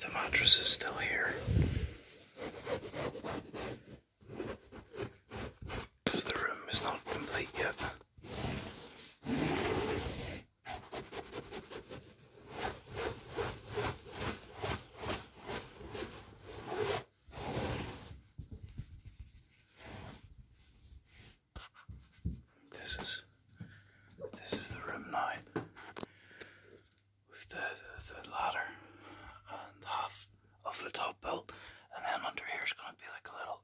The mattress is still here because the room is not complete yet. This is this is the room now with the the, ladder and half of the top belt, and then under here is going to be like a little,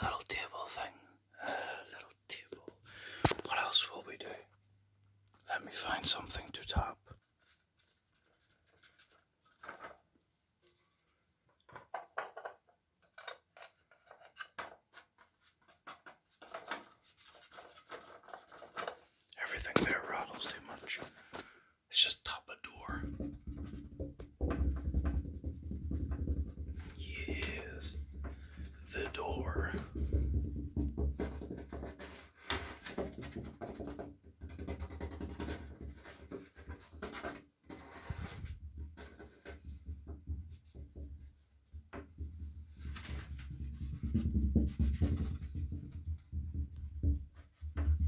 a little table thing, a little table. What else will we do? Let me find something to tap. Everything there rattles too much. It's just top a door. Yes, the door.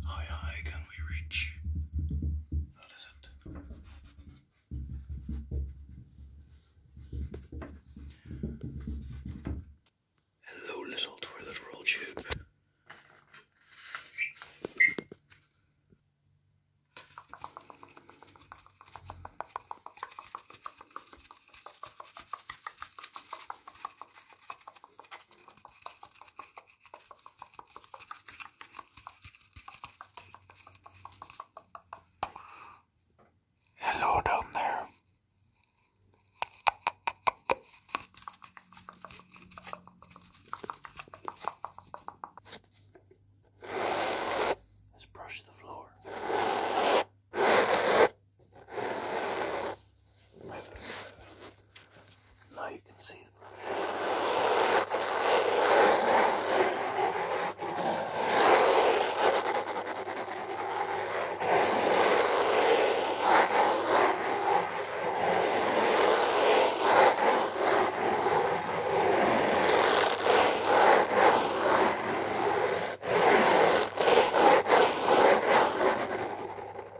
High, high can we reach? That is it. Hello, little toilet roll tube. Hello down there. Let's brush the floor. Now you can see the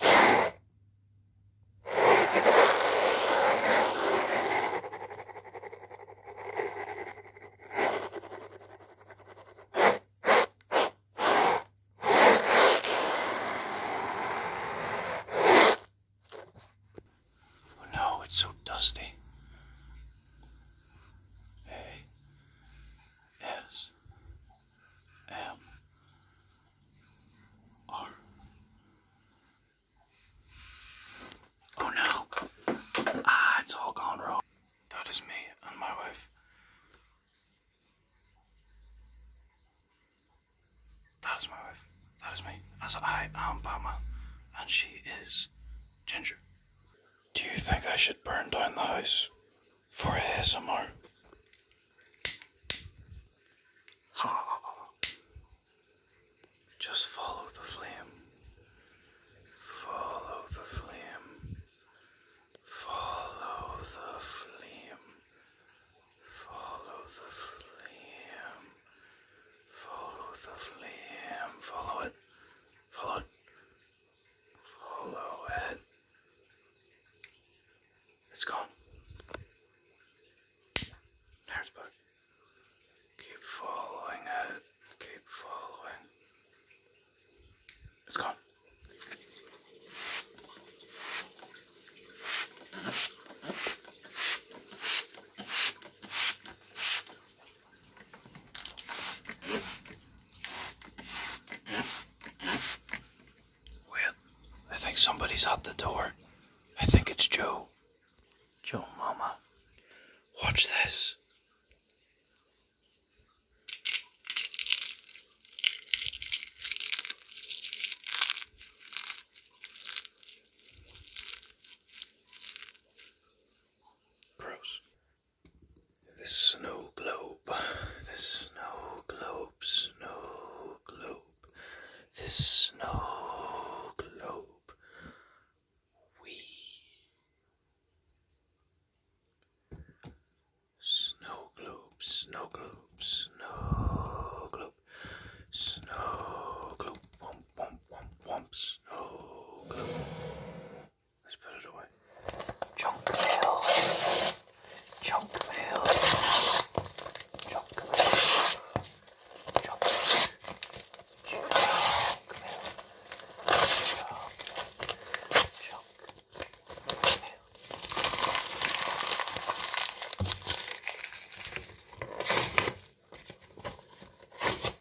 Oh, no, it's so dusty. Hey. Yes. M R. Oh no! Ah, it's all gone wrong. That is me and my wife. That is my wife. That is me. As I am Bama, and she is Ginger. Do you think I should burn down the house? for ASMR. Just follow the flame. Follow the flame. Follow the flame. Follow the flame. Follow the flame. Follow it. Follow, follow it. It's gone. There's bug. Keep following it. Keep following. It's gone. Wait, I think somebody's out the door. I think it's Joe. Joe, Mama. Watch this. Gross the snow globe, the snow globe, snow globe, the snow globe. We snow globe, snow globe, snow globe, snow globe, womp womp womp womp, snow globe. Let's put it away. Junk mail. Junk mail. Junk mail. Junk mail. Junk mail. Junk mail. Junk mail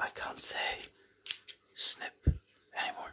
I can't say snip anymore.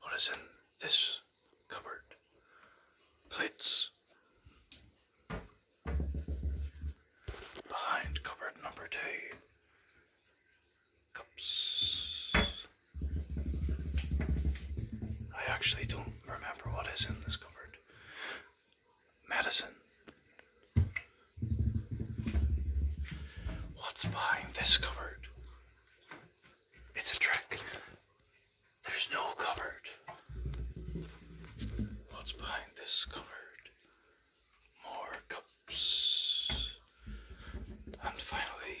What is in this cupboard? Plates. Behind cupboard number two, cups. I actually don't remember what is in this cupboard. Medicine. What's behind this cupboard? It's a trick. There's no cupboard. What's behind this cupboard? More cups. And finally,